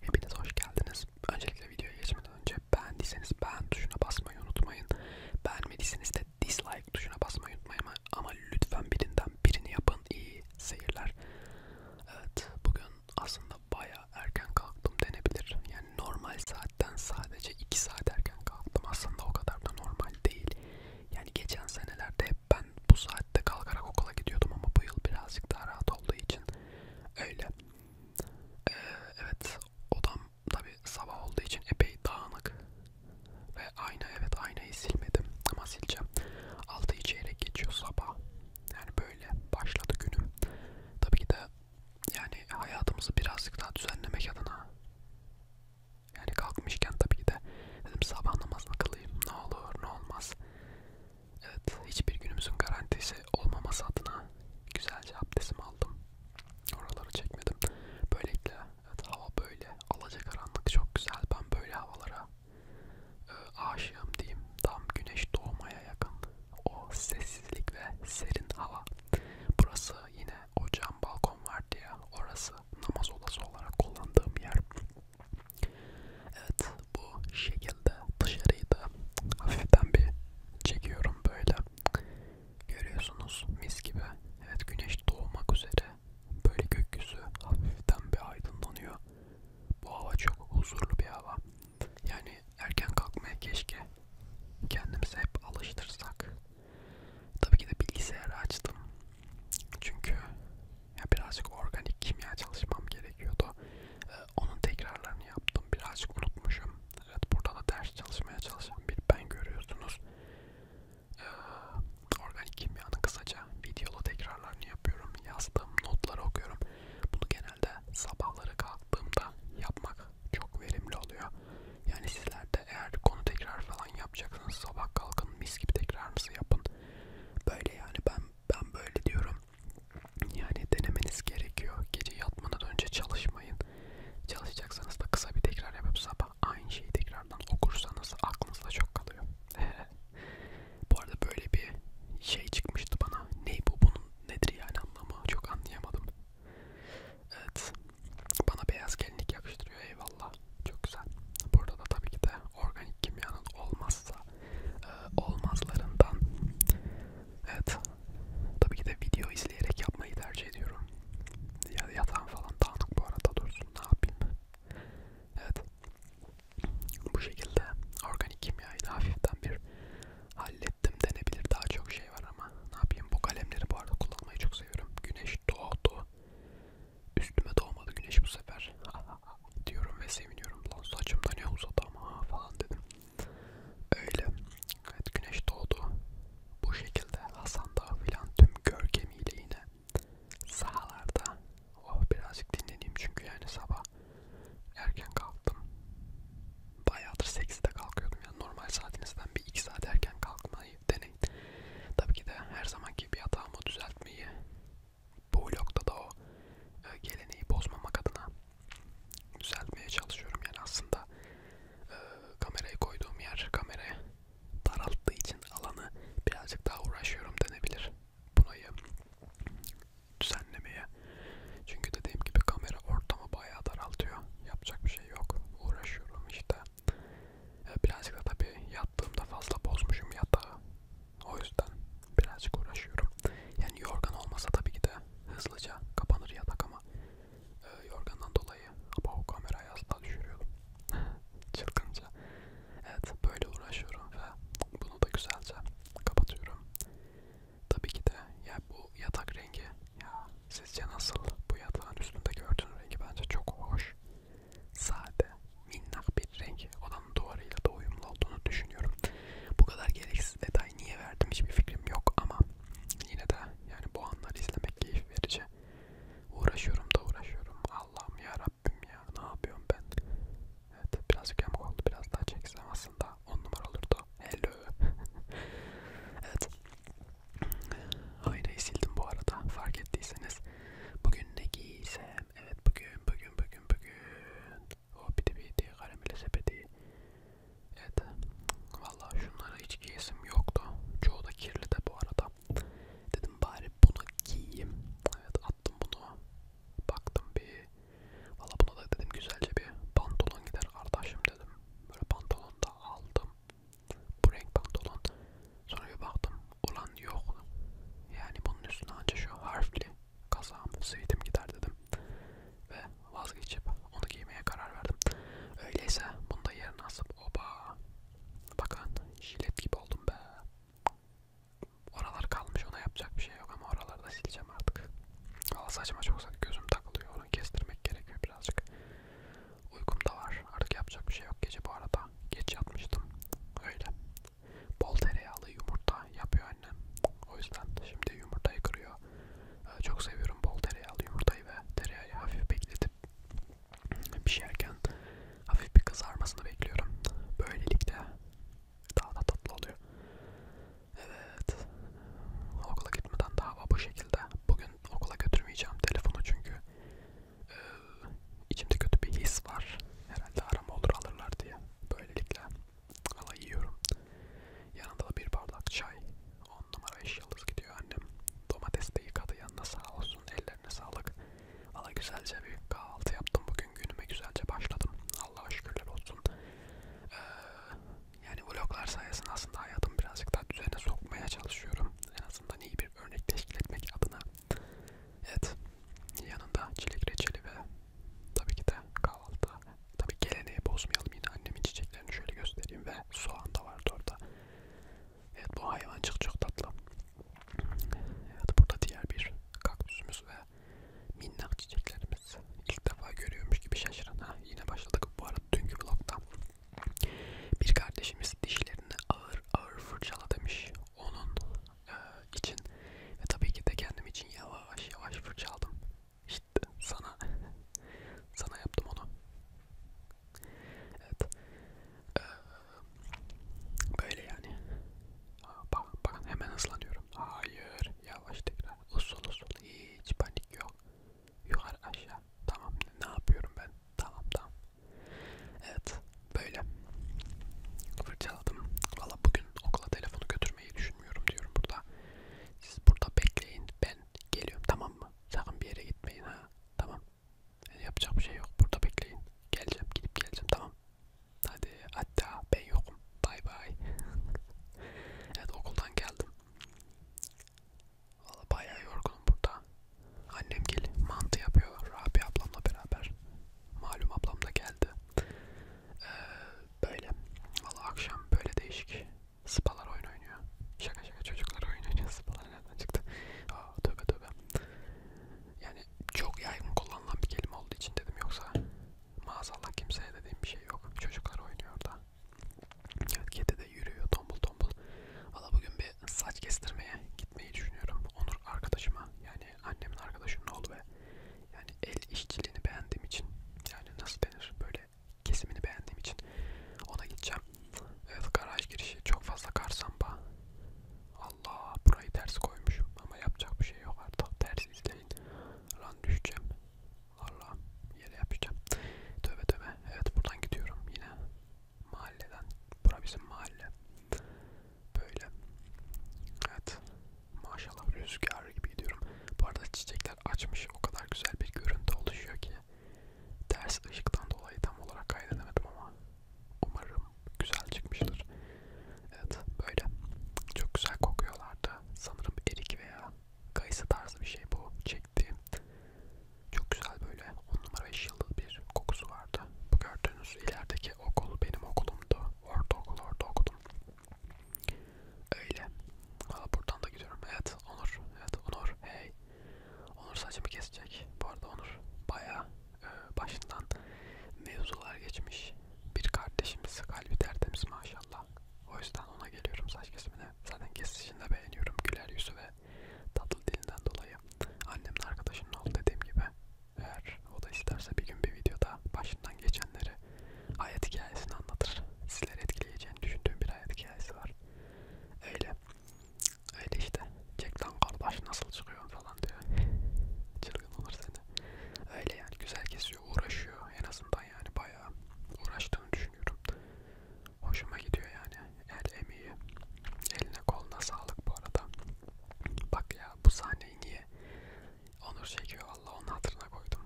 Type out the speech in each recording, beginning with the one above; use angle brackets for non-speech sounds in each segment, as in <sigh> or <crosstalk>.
Hepiniz hoş geldiniz. Öncelikle videoya geçmeden önce beğendiyseniz beğen tuşuna basmayı unutmayın. Beğenmediyseniz de dislike tuşuna basmayı unutmayın ama lütfen birinden birini yapın. İyi seyirler. Evet bugün aslında baya erken kalktım denebilir. Yani normal saatten sadece 2 saat erken kalktım. Aslında o kadar da normal değil. Yani geçen senelerde hep ben bu saatte kalkarak okula gidiyordum ama bu yıl birazcık daha rahat olduğu için öyle. Ee, evet odam tabi sabah olduğu için epey dağınık ve ayna evet aynayı silmedim ama sileceğim. Altı içeyrek geçiyor sabah. Yani böyle başladı günüm. Tabii ki de yani hayatımızı birazcık daha düzenlemek adına yani kalkmışken tabii ki de dedim sabah namazını kılayım ne olur ne olmaz Evet, hiçbir günümüzün garantisi olmaması adına güzelce abdestimi aldım. Oraları çekmedim. Böylelikle evet, hava böyle. Alacakaranlık çok güzel. Ben böyle havalara e, aşığım diyeyim. Tam güneş doğmaya yakın. O sessizlik ve serin hava. Burası yine o cam balkon vardı ya. Orası namaz odası olarak kullandığım yer. Evet bu şekilde dışarıyı da hafiften bir çekiyorum böyle. Görüyorsunuz mis gibi. Evet güneş doğmak üzere. Böyle gökyüzü hafiften bir aydınlanıyor. Bu hava çok huzurlu bir hava. Yani erken kalkmaya keşke kendimizi hep alıştırsak. Tabii ki de bilgisayarı açtım. Çünkü ya birazcık organik kimya çalışmam gerekiyordu. Ee, onun tekrarlarını yaptım. Birazcık unutmuşum. Evet burada da ders çalışmaya çalışan bir ben görüyorsunuz. Ee, organik kimyanın kısaca videolu tekrarlarını yapıyorum. Yazdığım notları okuyorum. Bunu genelde sabahları kalktığımda yapmak çok verimli oluyor. Yani sizler de eğer konu tekrar falan yapacaksanız sabah kalkın mis gibi tekrarınızı yapın. Böyle yani ben ben böyle diyorum. Yani denemeniz gerekiyor. Gece yatmadan önce çalışmayın. Çalışacaksanız da kısa bir tekrar yapıp sabah aynı şeyi tekrardan okursanız aklınızda çok kalıyor. <laughs> bu arada böyle bir şey çıkmıştı bana. Ne bu bunun nedir yani anlamı çok anlayamadım. Evet. Bana beyaz gelinlik yakıştırıyor eyvallah. Eyvallah. Çok güzel. Burada da tabii ki de organik kimyanın olmazsa e, olmazlarından evet tabii ki de video izleyerek yapmayı tercih ediyorum. Ya yatağım falan dağınık bu arada dursun ne yapayım. Evet. Bu şekilde organik kimyayı da hafiften bir hallettim denebilir. Daha çok şey var ama ne yapayım bu kalemleri bu arada kullanmayı çok seviyorum. Güneş doğdu. Üstüme doğmadı güneş bu sefer. <laughs> diyorum ve seviniyorum. Lan saçımda ne uzadı ama falan dedim. Öyle. Evet güneş doğdu. Bu şekilde Hasan Dağı filan tüm görkemiyle yine sahalarda. Oh birazcık dinleneyim çünkü yani sabah erken kalktım. Bayağıdır 8'de kalkıyordum yani normal saatinizden bir 2 saat erken kalkmayı denedim yani. Tabii ki de her zamanki bir hatamı düzeltmeyi bu vlogda da o e, geleneği bozmamak adına düzeltmeye çalışıyorum. Yani aslında e, kamerayı koyduğum yer kameraya daralttığı için alanı birazcık daha uğraşıyorum denebilir. Bunayı düzenlemeye. Çünkü dediğim gibi kamera ortamı bayağı daraltıyor. Yapacak bir şey yok. Uğraşıyorum işte. E, birazcık da tabi yattığımda fazla bozmuşum yatağı. O yüzden birazcık uğraşıyorum. Yani yorgan olmasa tabii ki de hızlıca kapanır yatak ama e, yorgandan dolayı bu kamerayı asla düşürüyordum. <laughs> Çılgınca. Evet böyle uğraşıyorum ve bunu da güzelce kapatıyorum. Tabii ki de ya bu yatak rengi ya sizce nasıl bu yatağın üstünde gördüğün rengi bence çok hoş sade, minnak bir renk odanın duvarıyla da uyumlu olduğunu düşünüyorum. Bu kadar gereksiz detay niye verdim hiçbir fikrim yok ama yine de yani bu anları izlemek keyif verici. Uğraşıyorum da uğraşıyorum. Allah'ım ya Rabbim ya ne yapıyorum ben? Evet birazcık yamuk oldu biraz daha çeksem aslında on numara olurdu. Hello. <laughs> evet Aynayı sildim bu arada fark ettiyseniz. Bugün ne giysem? Evet bugün bugün bugün bugün. O oh, biti biti karamele sepeti. Evet. Valla şunlara hiç giyesim yoktu. Çoğu da kirli de bu arada. Dedim bari bunu giyeyim. Evet attım bunu. Baktım bir. Valla buna da dedim güzelce bir pantolon gider kardeşim dedim. Böyle pantolon da aldım. Bu renk pantolon. Sonra bir baktım olan yok. Yani bunun üstüne anca şu harfli kazağım, sivitim gider dedim. Ve vazgeçip onu giymeye karar verdim. Öyleyse bunu da yerine asıp oba. Bakın jilet gibi oldum be. Oralar kalmış ona yapacak bir şey yok ama oralarda sileceğim artık. Valla saçma çok gözüm takılıyor onu kestirmek gerekiyor birazcık. Uykum da var. Artık yapacak bir şey yok. Gece bu arada geç yatmıştım. Öyle. Bol tereyağlı yumurta yapıyor annem. O yüzden şimdi yumurtayı kırıyor. Ee, çok seviyorum bol tereyağlı yumurtayı ve tereyağı hafif bekletip pişerken şey hafif bir kızarmasını bekliyorum. Böylelikle daha da tatlı oluyor. Evet. Okula gitmeden daha bu şekilde. Bugün bugün okula götürmeyeceğim telefonu çünkü e, içimde kötü bir his var. Herhalde arama olur alırlar diye. Böylelikle ala yiyorum. Yanında da bir bardak çay. 10 numara iş yıldız gidiyor annem. Domates de yıkadı yanına sağ olsun. Ellerine sağlık. Valla güzelce bir kahvaltı yaptım. Bugün günüme güzelce başladım. Allah'a şükürler olsun. Ee, yani vloglar sayesinde aslında hayatımı birazcık daha düzene sokmaya çalışıyorum. En azından iyi bir örnek teşkil etmek adına. Evet. Yanında çilek reçeli ve tabii ki de kahvaltı. Tabii geleneği bozmayalım yine annemin çiçeklerini şöyle göstereyim ve soğan da vardı orada. Evet bu hayvancık çok tatlı. Evet burada diğer bir kaktüsümüz ve minnak çiçeklerimiz. İlk defa görüyormuş gibi şaşıran. Ha, yine başladık bu var dünkü vlogdan. Bir kardeşimiz dişlerini ağır ağır fırçala demiş. Onun e, için ve tabii ki de kendim için yavaş yavaş fırçaladım. İşte sana sana yaptım onu. Evet. E, böyle yani. Bak bak hemen hızlanıyorum. Hayır, yavaş tekrar. Usul usul hiç panik yok. Yukarı aşağı. Tamam ne yapıyorum ben? Tamam tamam. Evet böyle. Fırçaladım. Valla bugün okula telefonu götürmeyi düşünmüyorum diyorum burada. Siz burada bekleyin. Ben geliyorum tamam mı? Sakın bir yere gitmeyin ha. Tamam. Yani yapacak bir şey yok. Burada bekleyin. Geleceğim gidip geleceğim tamam. Hadi hatta ben yokum. Bay bay. <laughs> evet okuldan geldim. Valla bayağı yorgunum burada. Annem gel mantı yapıyor Rabia ablamla beraber. Malum ablam da geldi. Ee, böyle. Valla akşam böyle değişik spalar oyun oynuyor. Şaka şaka çocuklar oyun oynuyor. Spalar <laughs> nereden çıktı? Aa, tövbe tövbe. Yani çok yaygın kullanılan bir kelime olduğu için dedim yoksa Maazallah kimseye dediğim bir şey yok. Çocuklar oynuyor orada. Evet kedi de yürüyor tombul tombul. Valla bugün bir saç kestirmeye gitmeyi düşünüyorum. Onur arkadaşıma yani annemin arkadaşının oğlu ve yani el işçiliğini beğendiğim için yani nasıl denir böyle kesimini beğendiğim için ona gideceğim. Evet garaj girişi çok fazla karsamba. Allah burayı ters koymuşum ama yapacak bir şey yok artık. Ters izleyin. Lan düşeceğim. Allah yere yapacağım. Tövbe tövbe. Evet buradan gidiyorum yine. Mahalleden. Bura bizim mahalle. Böyle. Evet. Maşallah rüzgar gibi gidiyorum. Bu arada çiçekler açmış. O kadar güzel bir görüntü oluşuyor ki. Ters ışıktan dolayı tam olarak kaydedemedim ama umarım güzel çıkmıştır. Evet böyle. Çok güzel kokuyorlardı. Sanırım erik veya kayısı tarzı bir şey bu çektiğim. Çok güzel böyle 10 numara 5 yıllık bir kokusu vardı. Bu gördüğünüz ilerideki okul benim okulumdu. Ortaokul orada okudum. Öyle. Valla buradan da gidiyorum. Evet Onur. Evet Onur. Hey. Onur saçımı kesecek. Bu arada Onur baya e, başından mevzular geçmiş bir kardeşimiz kalbi tertemiz maşallah. O yüzden ona geliyorum saç kesimine. Zaten kesişini de beğeniyorum. Güler yüzü ve tatlı dilinden dolayı. Annemin arkadaşının oldu dediğim gibi. Eğer o da isterse bir gün bir videoda başından geçenleri hayat hikayesini anlatır. Sizleri etkileyeceğini düşündüğüm bir hayat hikayesi var. Öyle. Öyle işte. Jack lan kardeş nasıl çıkıyor falan diyor tedirgin olur seni. Öyle yani güzel kesiyor, uğraşıyor en azından yani bayağı uğraştığını düşünüyorum. Hoşuma gidiyor yani el emeği. Eline koluna sağlık bu arada. Bak ya bu sahneyi niye Onur çekiyor valla onun hatırına koydum.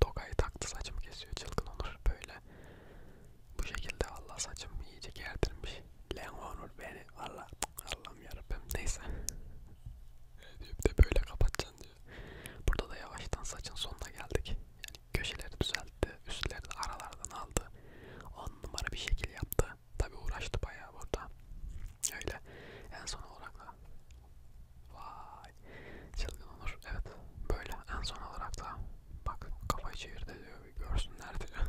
Tokayı taktı saçımı kesiyor çılgın Onur böyle. Bu şekilde valla saçım iyice gerdirmiş. Lan Onur beni valla Allah Allah'ım yarabbim neyse. Deyip de böyle kapatacaksın diyor. Burada da yavaştan saçın sonuna geldik. Yani köşeleri düzeltti, üstleri de aralardan aldı. On numara bir şekil yaptı. Tabi uğraştı bayağı burada. Öyle. En son olarak da vay çılgın olur. Evet böyle en son olarak da bak kafayı çevirdi diyor bir görsünler diyor.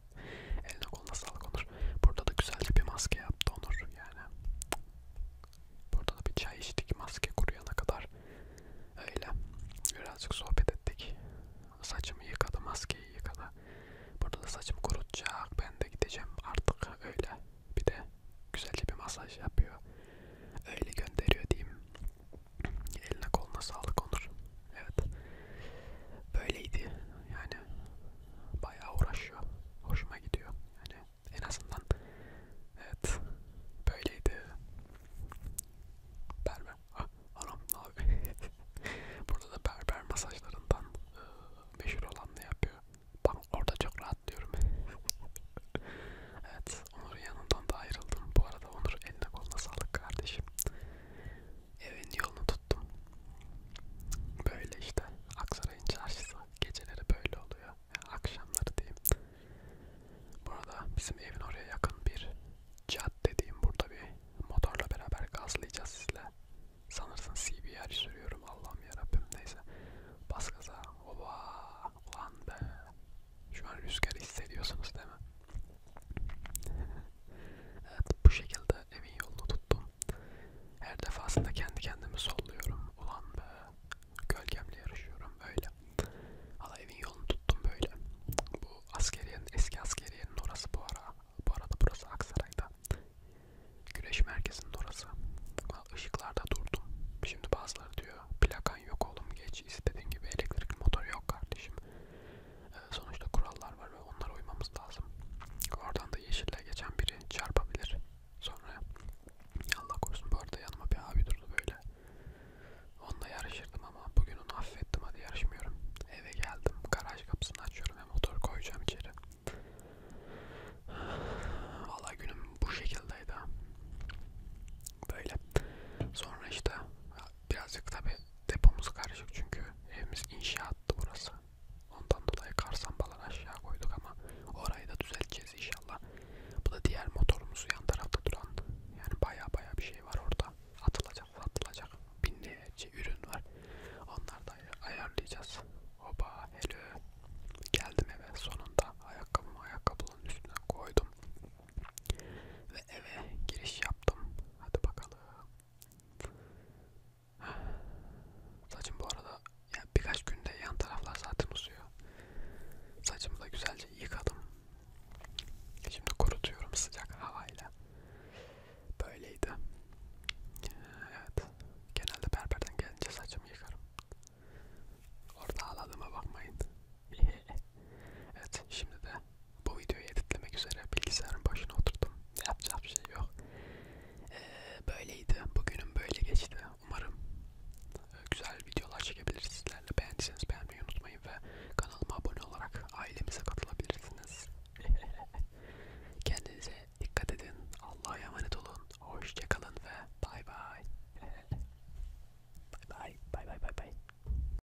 <laughs> Eline koluna sağlık Onur. Burada da güzelce bir maske yaptı Onur yani. Burada da bir çay içtik maske kuruyana kadar. Öyle birazcık sohbet ettik. Saçımı yıkadı, maskeyi yıkadı. Burada da saçımı kurutacak. Ben de gideceğim artık öyle. Bir de güzelce bir masaj yapıyor. Öyle gönderiyor diyeyim. Eline koluna sağlık Onur. Evet. Böyleydi. Yani bayağı uğraşıyor. Hoşuma gidiyor. Yani en azından evet böyleydi. Berber. Ah, anam abi. <laughs> Burada da berber masajlarından e, meşhur olan ne yapıyor? Ben orada çok rahatlıyorum. <laughs> evet, Onur'un yanından da ayrıldım. Bu arada Onur eline koluna sağlık kardeşim evin yolunu tuttum. Böyle işte Aksaray'ın çarşısı geceleri böyle oluyor. Yani akşamları diyeyim. Burada bizim evin oraya yakın bir cadde diyeyim. Burada bir motorla beraber gazlayacağız sizle. Sanırsın CBR sürüyorum Allah'ım yarabbim neyse. Bas gaza. Oba. Ulan be. Şu an rüzgarı hissediyorsunuz değil mi? <laughs> evet bu şekilde da evin yolunu tuttum. Her defasında kendi kendimi solluyorum. Ulan be, gölgemle yarışıyorum böyle. Valla evin yolunu tuttum böyle. Bu askeriyenin, eski askeriyenin orası bu ara. Bu arada burası Aksaray'da. Güreş merkezinin orası. Işıklarda durdum. Şimdi bazıları diyor plakan yok oğlum geç istediğin gibi elektrik motoru yok kardeşim. Sonuçta kurallar var ve onlara uymamız lazım. Oradan da yeşille geçen biri çarpabilir. Sonra Allah korusun bu arada yanıma bir abi durdu böyle. Onunla yarışırdım ama bugün onu affettim hadi yarışmıyorum. Eve geldim garaj kapısını açıyorum ve motor koyacağım içeri. Valla günüm bu şekildeydi. Böyle. Sonra işte birazcık tabi depomuz karışık çünkü evimiz inşaattı burası. Ondan dolayı karsambaları aşağı koyduk ama orayı da düzelteceğiz inşallah. Bu da diğer motorumuz yan tarafta duran. Yani baya baya bir şey var orada. Atılacak atılacak. Binlerce ürün var. Onları da ayarlayacağız. Oba hello. Geldim eve sonunda. Ayakkabımı ayakkabının üstüne koydum. Ve eve giriş yaptım. Hadi bakalım. Saçım bu arada yani birkaç günde yan taraflar zaten uzuyor. Saçımı da güzelce yıkadım. Şimdi kurutuyorum sıcak havayla. Böyleydi. Evet. Genelde berberden gelince saçımı yıkarım. Orada ağladığıma bakmayın. <laughs> evet şimdi de bu videoyu editlemek üzere bilgisayarın başına oturdum. Yapacak bir şey yok. Ee, böyleydi. Bugünüm böyle geçti. Umarım e, güzel videolar çekebiliriz sizlerle. Beğendiyseniz beğenmeyi unutmayın ve kanalıma abone olarak ailemize katılabilirsiniz. <laughs> Kendinize dikkat edin. Allah'a emanet olun. Hoşçakalın ve bay bay. <laughs> Bay bay bay bay bay bay.